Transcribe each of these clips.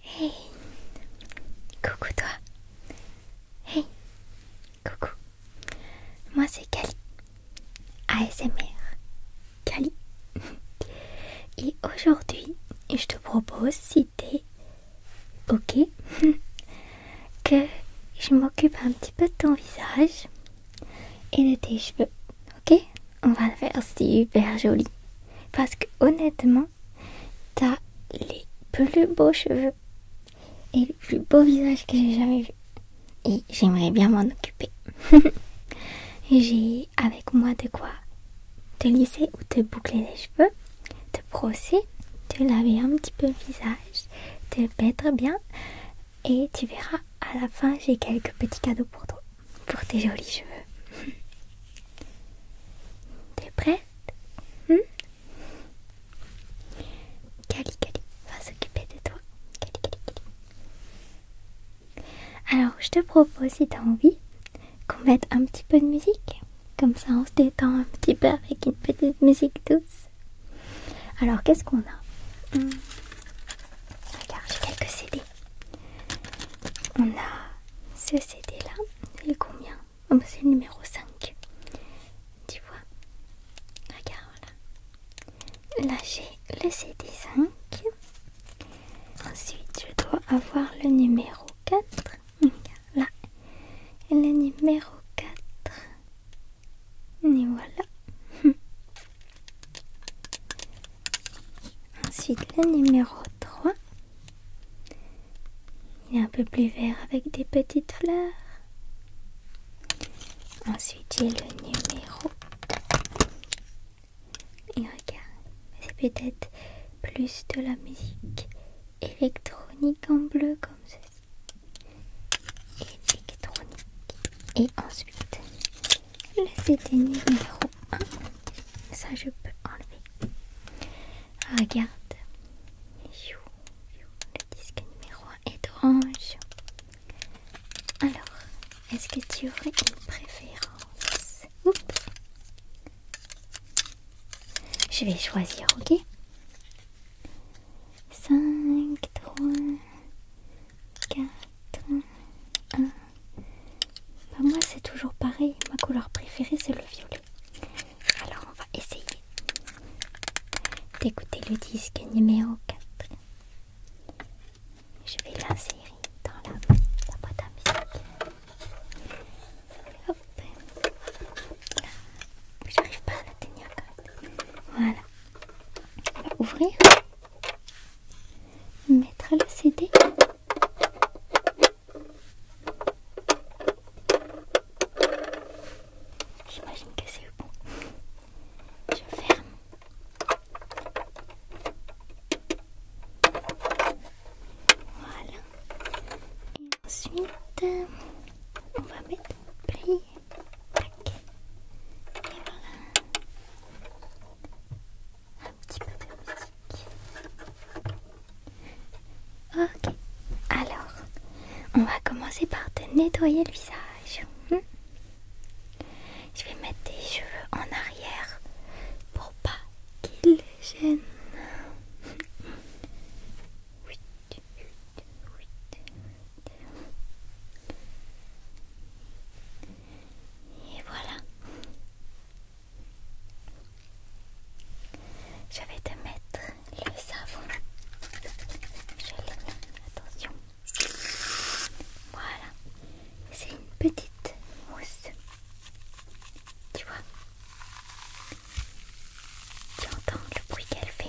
Hey Coucou toi Hey Coucou Moi c'est Kali ASMR Cali Et aujourd'hui je te propose si t'es ok que je m'occupe un petit peu de ton visage et de tes cheveux ok on va le faire super joli parce que honnêtement t'as les plus beaux cheveux et le plus beau visage que j'ai jamais vu. Et j'aimerais bien m'en occuper. j'ai avec moi de quoi te lisser ou te boucler les cheveux, te brosser, te laver un petit peu le visage, te mettre bien. Et tu verras, à la fin, j'ai quelques petits cadeaux pour toi pour tes jolis cheveux. T'es prête Cali hmm va s'occuper de toi. Alors, je te propose, si t'as envie, qu'on mette un petit peu de musique. Comme ça, on se détend un petit peu avec une petite musique douce. Alors, qu'est-ce qu'on a hmm. Regarde, j'ai quelques CD. On a ce CD là, il est combien ah, bah, C'est le numéro 5. Tu vois Regarde voilà. Là j'ai le CD 5. Ensuite je dois avoir le numéro 4. Regarde là. le numéro 4. Et voilà. Ensuite le numéro 3. Il est un peu plus vert avec des petites fleurs. Ensuite, j'ai le numéro. Et regarde, c'est peut-être plus de la musique électronique en bleu comme ceci. Électronique. Et ensuite, c'est des numéro ça, je peux enlever. Regarde. Le disque numéro 1 est orange. Alors, est-ce que tu aurais une préférence Je vais choisir, ok 5, 3, 4, 1. Bah, moi c'est toujours pareil, ma couleur préférée c'est le violet. Alors on va essayer d'écouter le disque numéro 4. Je vais l'insérer dans la, boîte à musique. Hop. J'arrive pas à l'atteindre quand même. Voilà. On va ouvrir. Mettre le CD. J'imagine que c'est bon. Je ferme. Voilà. Et ensuite, euh, on va mettre pli, Tac. Et voilà un petit peu de musique. Ok, alors on va commencer par te nettoyer le visage. Hmm. Je vais mettre tes cheveux en arrière pour pas qu'ils gênent. Et voilà. Je vais te mettre le savon. Je attention. Voilà, c'est une petite mousse. Tu vois Tu entends le bruit qu'elle fait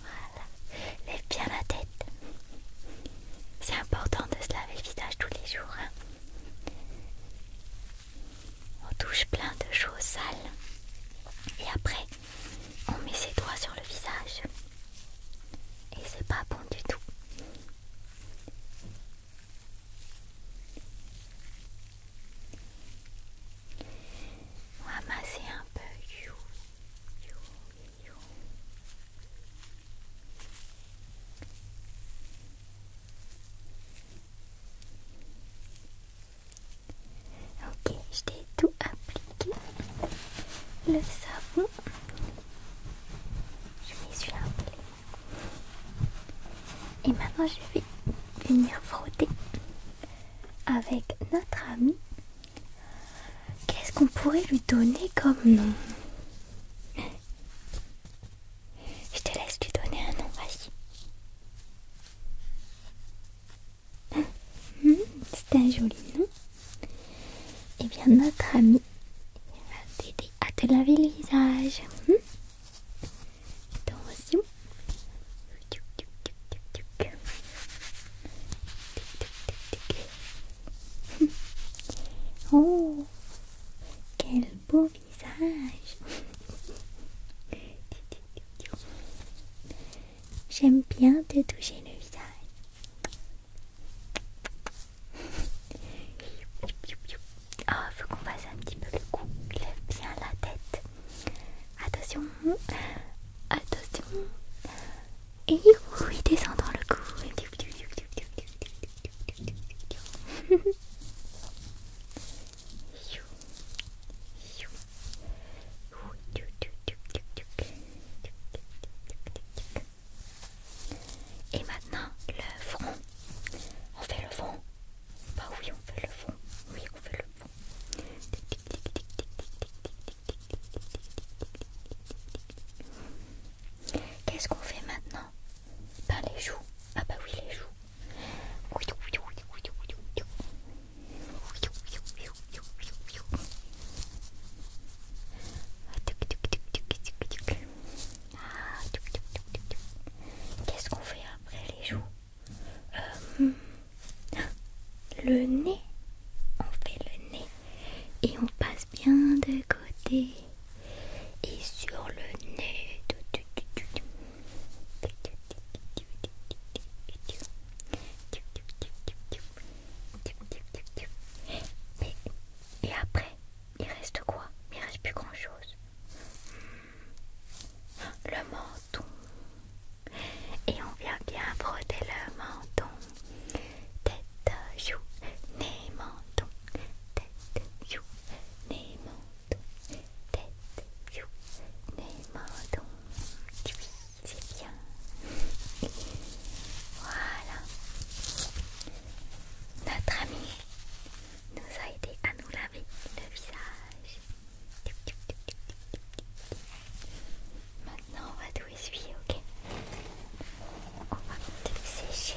Voilà, lève bien la tête. C'est important de se laver le visage tous les jours. Hein. on touche plein de choses sales et après on met ses doigts sur le visage et c'est pas bon du tout. On va masser un peu. Ok, je t'ai tout appliqué. Le savon, je m'y suis là Et maintenant, je vais venir frotter avec notre ami Qu'est-ce qu'on pourrait lui donner comme nom Je te laisse lui donner un nom, vas-y. Hmm, c'est un joli nom. Eh bien, notre ami va t'aider à te laver le visage. Hmm. Attention. Oh, quel beau visage J'aime bien te toucher le visage. Oh, faut qu'on fasse un petit peu le cou. Lève bien la tête. Attention, Attention. Et oui, descend le cou. Et maintenant le front. On fait le front. Bah oui, on fait le front. Oui, on fait le front. Qu'est-ce qu'on fait maintenant Ben les joues. Ah bah oui les joues. Ah, Qu'est-ce qu'on fait après les joues euh, hmm le nez. On fait le nez et on passe bien de côté et sur le nez. Et, après, il reste quoi Il reste plus grand chose. Le menton. Et on vient bien frotter le menton. Tête, joue, nez, menton. Tête, joue, nez, menton. Tête, joue, nez, menton. c'est bien. voilà. Notre ami nous a aidé à nous laver le visage. Maintenant, on va tout essuyer, ok On va tout sécher.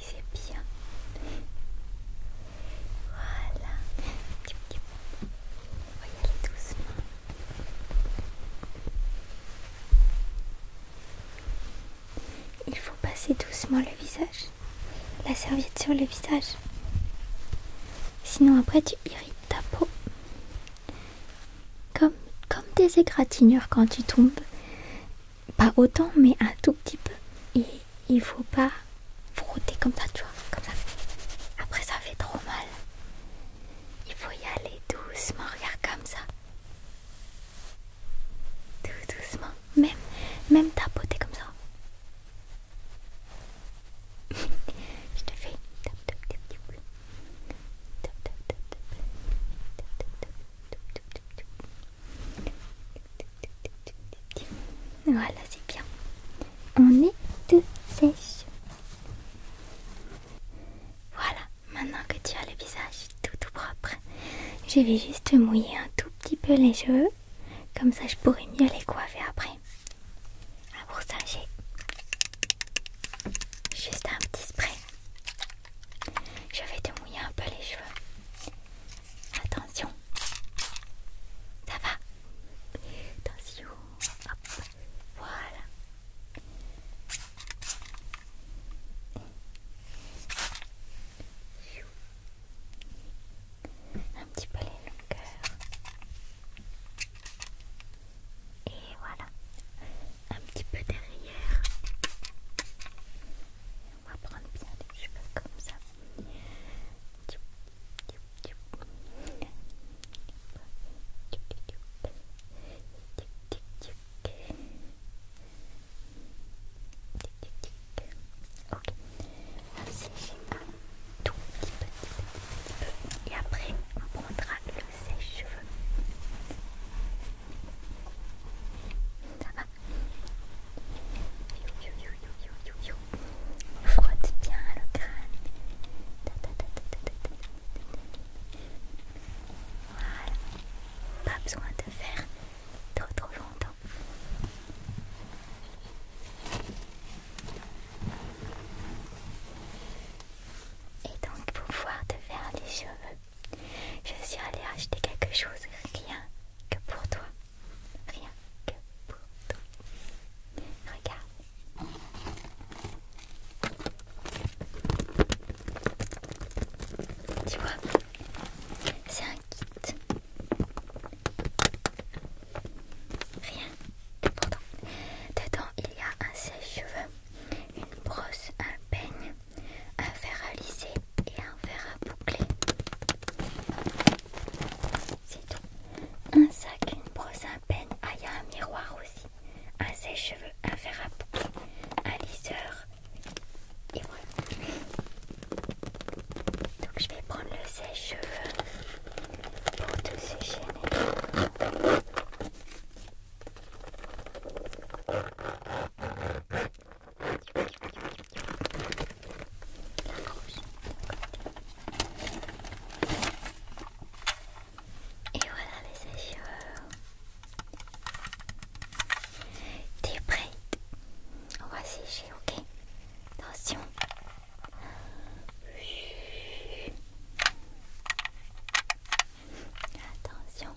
C'est bien. Voilà. On va y aller doucement. Il faut passer doucement le visage, la serviette sur le visage. Sinon après tu irrites ta peau. Comme, comme des égratignures quand tu tombes. Pas autant mais un tout petit peu. Et il faut pas frotter comme ça, tu vois. Comme ça. Après ça fait trop mal. Il faut y aller doucement, regarde comme ça. Tout doucement, même, même tapoter comme ça. Je te fais Voilà, c'est bien. On est tout sèche. Voilà, maintenant que tu as le visage tout tout propre, je vais juste mouiller un tout petit peu les cheveux, comme ça je pourrai mieux les coiffer après. Ah pour ça j'ai juste un petit spray. Je vais te mouiller un peu les cheveux. Attention. Ça va Attention. Hop. Voilà. Un petit peu les longueurs. Et voilà. Un petit peu derrière. On va prendre bien les cheveux comme ça. Ok, Ok. Ainsi, j'ai un tout petit peu, petit petit peu. Et après, on prendra le sèche-cheveux. Ça va you, you, you, you, you, you. Frotte bien le crâne. ta, ta, ta, ta, ta. Voilà. Pas besoin de faire trop trop longtemps. Et donc pour pouvoir te faire les cheveux, je suis allée acheter quelque chose rien que pour toi. Rien que pour toi. Regarde. Tu vois, c'est un kit. Rien d'important. Dedans, il y a un sèche-cheveux, une brosse, un peigne, un fer à lisser et un fer à boucler. C'est tout. Un sac, une brosse ah, il y a un miroir aussi. Un sèche-cheveux, un fer à boucler, un lisseur. Et voilà. Donc, je vais prendre le sèche-cheveux pour tout sécher. Et voilà les sèche cheveux T'es prête On va sécher, ok Attention. Attention.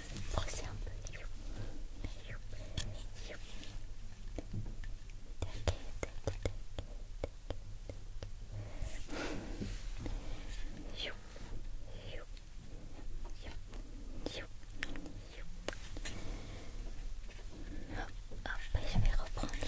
c'est un peu. je vais reprendre les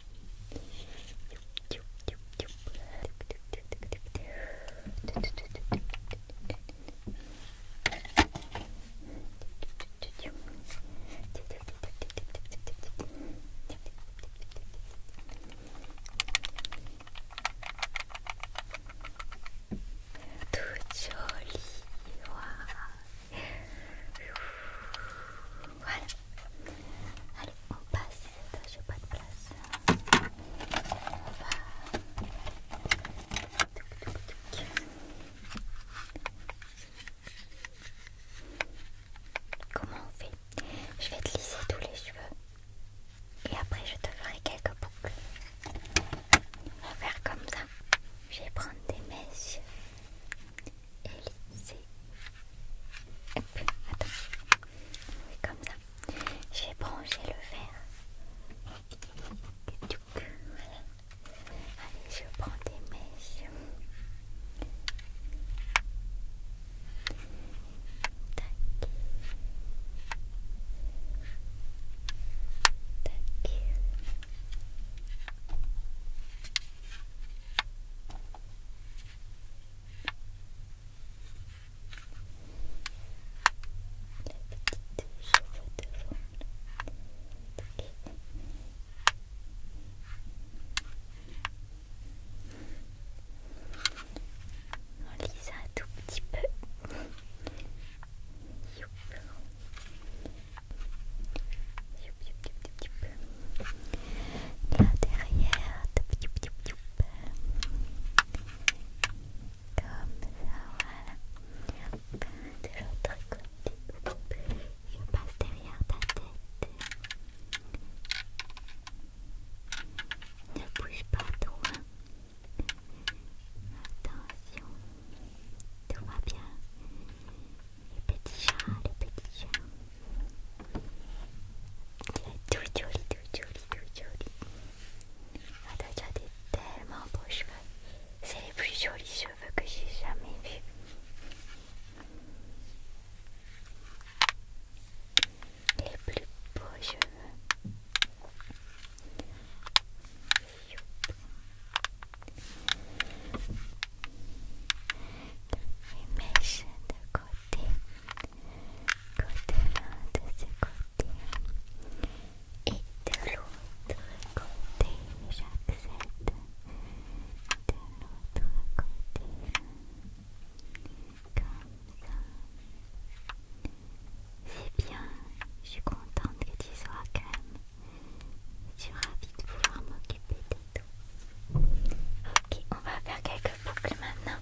Toute jolie, wow. Voilà. Allez, on pas de place. Comment on fait Je vais te lisser tous les cheveux et après je te ferai quelques boucles. On va faire comme ça. Je vais prendre des mèches et lisser comme ça. J'ai branché le verre. Allez, je prends des mèches. La petite cheveux devant, là, c'est ok. On lise un tout petit peu. Youp, youp, youp, tout petit peu. Là derrière, comme ça, voilà. De l'autre côté, je passe derrière ta tête. Ne bouge pas trop. Hein. Attention, tout va bien. Les petits chiens, les petits chiens. Il est tout joli, tout joli, tout joli. Ah, a déjà des tellement beaux cheveux. C'est les plus jolis cheveux que j'ai jamais vus. Les plus beaux cheveux. mes mèches de côté côté de ce côté et de l'autre côté, j'accepte. De l'autre côté, comme ça. C'est bien, je suis contente que tu sois calme. Je suis ravie de pouvoir m'occuper de toi. Ok, on va faire quelques boucles maintenant.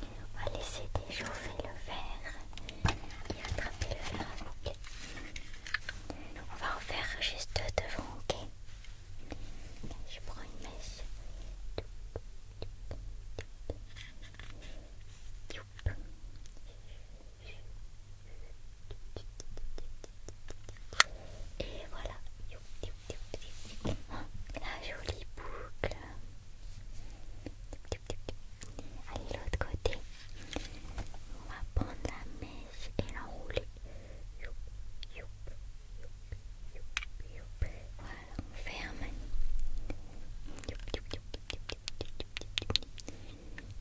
On va laisser déchauffer le verre et attraper le verre à boucles. On va en faire juste devant, ok Je prends une mèche. Et voilà. La jolie boucle. Allez, l'autre côté. On va prendre la mèche et l'enrouler. Voilà, on ferme.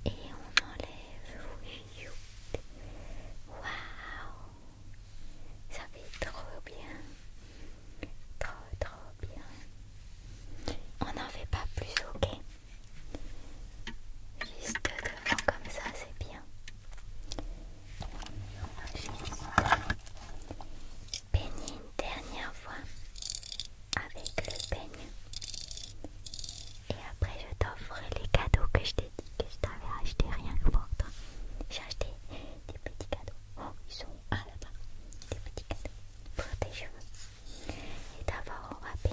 Et on enlève. Waouh! ça fait trop bien, trop trop bien. On n'en fait pas plus, ok Juste devant comme ça, c'est bien. Juste une dernière fois avec le peigne. Et après, je t'offre les cadeaux que je t'ai dit que je t'avais acheté rien que pour J'ai acheté des petits cadeaux. Oh, ils sont à là-bas. Des petits cadeaux pour tes cheveux. Et d'abord, on va un peu.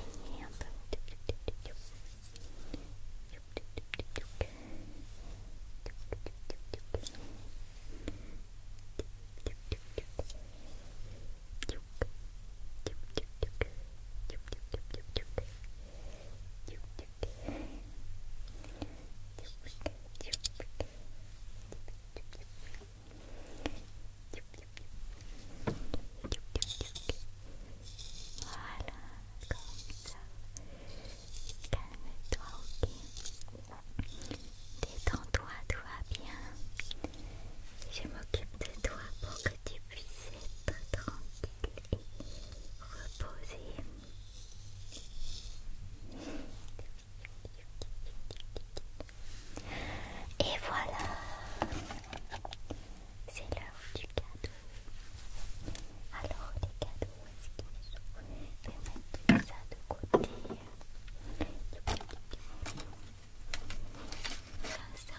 Voilà Calme-toi, ok Détends-toi, toi bien. Je m'occupe de toi pour que tu puisses être tranquille reposer. Et voilà, c'est l'heure du cadeau. Alors les cadeaux, est-ce qu'ils sont Je vais mettre ça de côté. Comme ça.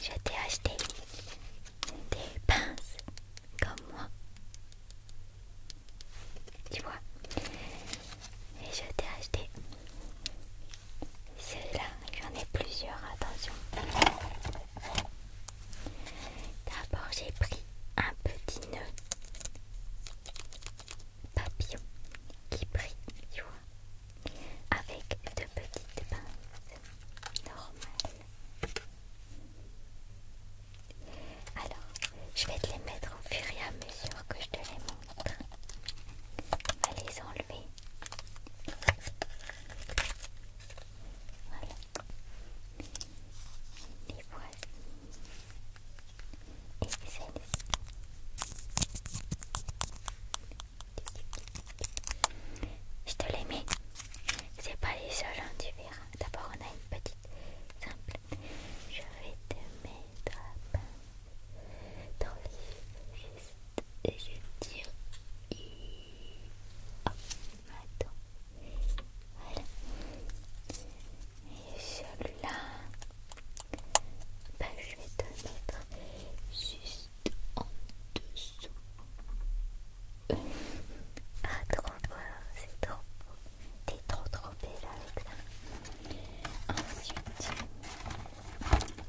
Je t'ai acheté des pinces comme moi. Tu vois Et je t'ai acheté celle-là. J'en ai plusieurs, attention. D'abord j'ai pris un petit nœud papillon qui brille, tu vois, avec de petites pinces normales. Alors, je vais te les mettre au fur et à mesure que je te les montre. On les enlever. Voilà. Les je te l'ai mis. C'est pas les seuls, hein, tu verras. D'abord, on a une petite simple. Je vais te mettre dans les juste et je tire. Et... Oh, attends. Voilà. Et celui-là, ben, je vais te mettre juste en dessous. ah, trop beau, c'est trop beau. T'es trop trop belle avec ça. Ensuite,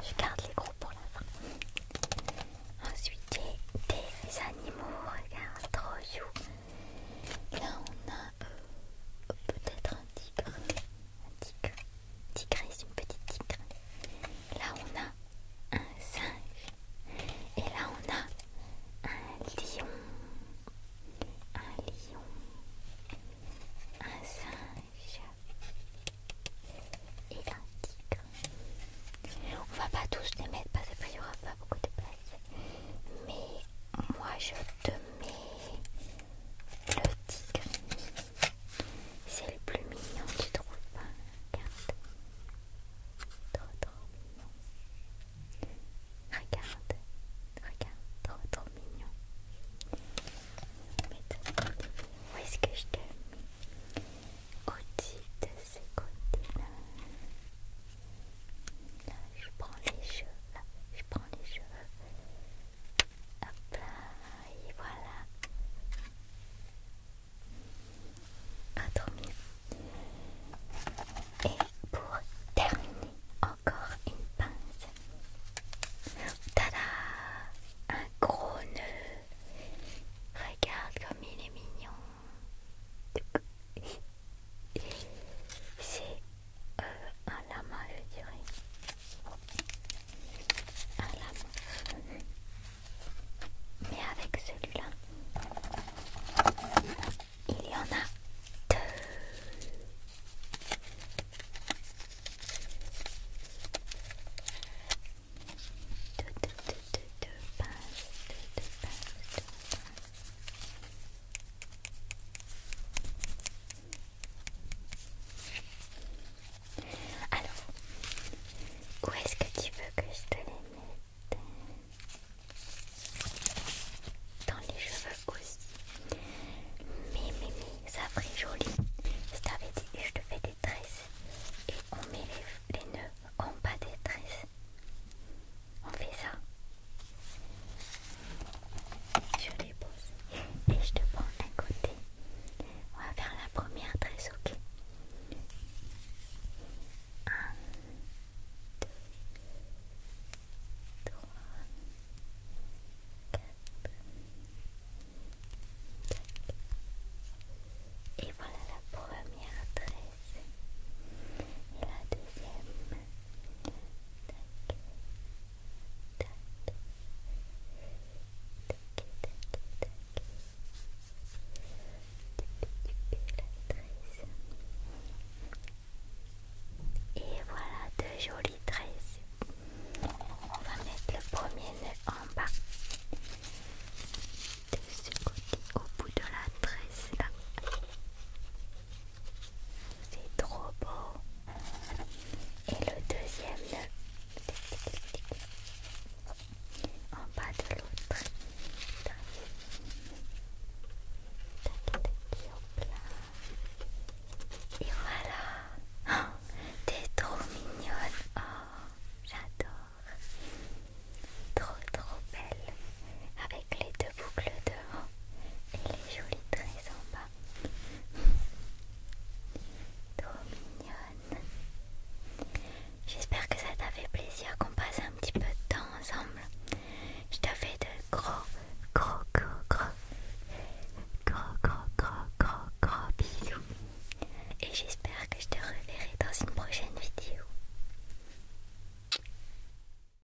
je garde les gros pour la fin. Ensuite, j'ai des animaux, regarde, trop chou. Là, on a euh, peut-être tigre, un tigre, tigre, c'est une petite tigre. Là on a un singe. Et là on a un lion. Un lion. Un singe. Et un tigre. On va pas tous les mettre parce qu'il y aura pas beaucoup de place. Mais moi je te mais le tigre, c'est le plus mignon, tu trouves pas Regarde, trop trop mignon. Regarde, regarde, trop trop mignon. Où est-ce que je t'ai mis Au-dessus de ce côté-là je prends les cheveux. Là, je prends les cheveux. Hop là, et voilà. Ah, trop Et pour terminer, encore une pince. Tada! Un gros nœud. Regarde comme il est mignon. C'est euh, un lama, je dirais. Un lama. Mais avec celui-là, il y en a deux. Deux, deux, deux, deux, deux, pinces, deux, alors, où est-ce que tu veux que je te les mette Dans les cheveux aussi. Mais, mais, ça ferait joli. Je t'avais dit, je te fais des tresses et on met les, les nœuds en bas des tresses on fait ça. Je les pose et je te prends un côté. On va faire la première tresse, ok 1, 2, 3, 4, 5. Et voilà la première tresse. Et la deuxième. Et voilà deux jolies tresses. On va mettre le premier nœud en bas de ce côté au bout de la tresse là. C'est trop beau. Et le deuxième en bas de l'autre. Et voilà. Oh, t'es trop mignonne. Oh, j'adore. Trop trop belle avec les deux boucles devant et les jolies tresses en bas. Trop mignonne. J'espère que ça t'a fait plaisir qu'on passe un petit peu de temps ensemble. Je te fais de gros, gros, gros, gros, gros, gros, gros, gros, gros bisous. Et j'espère que je te reverrai dans une prochaine vidéo.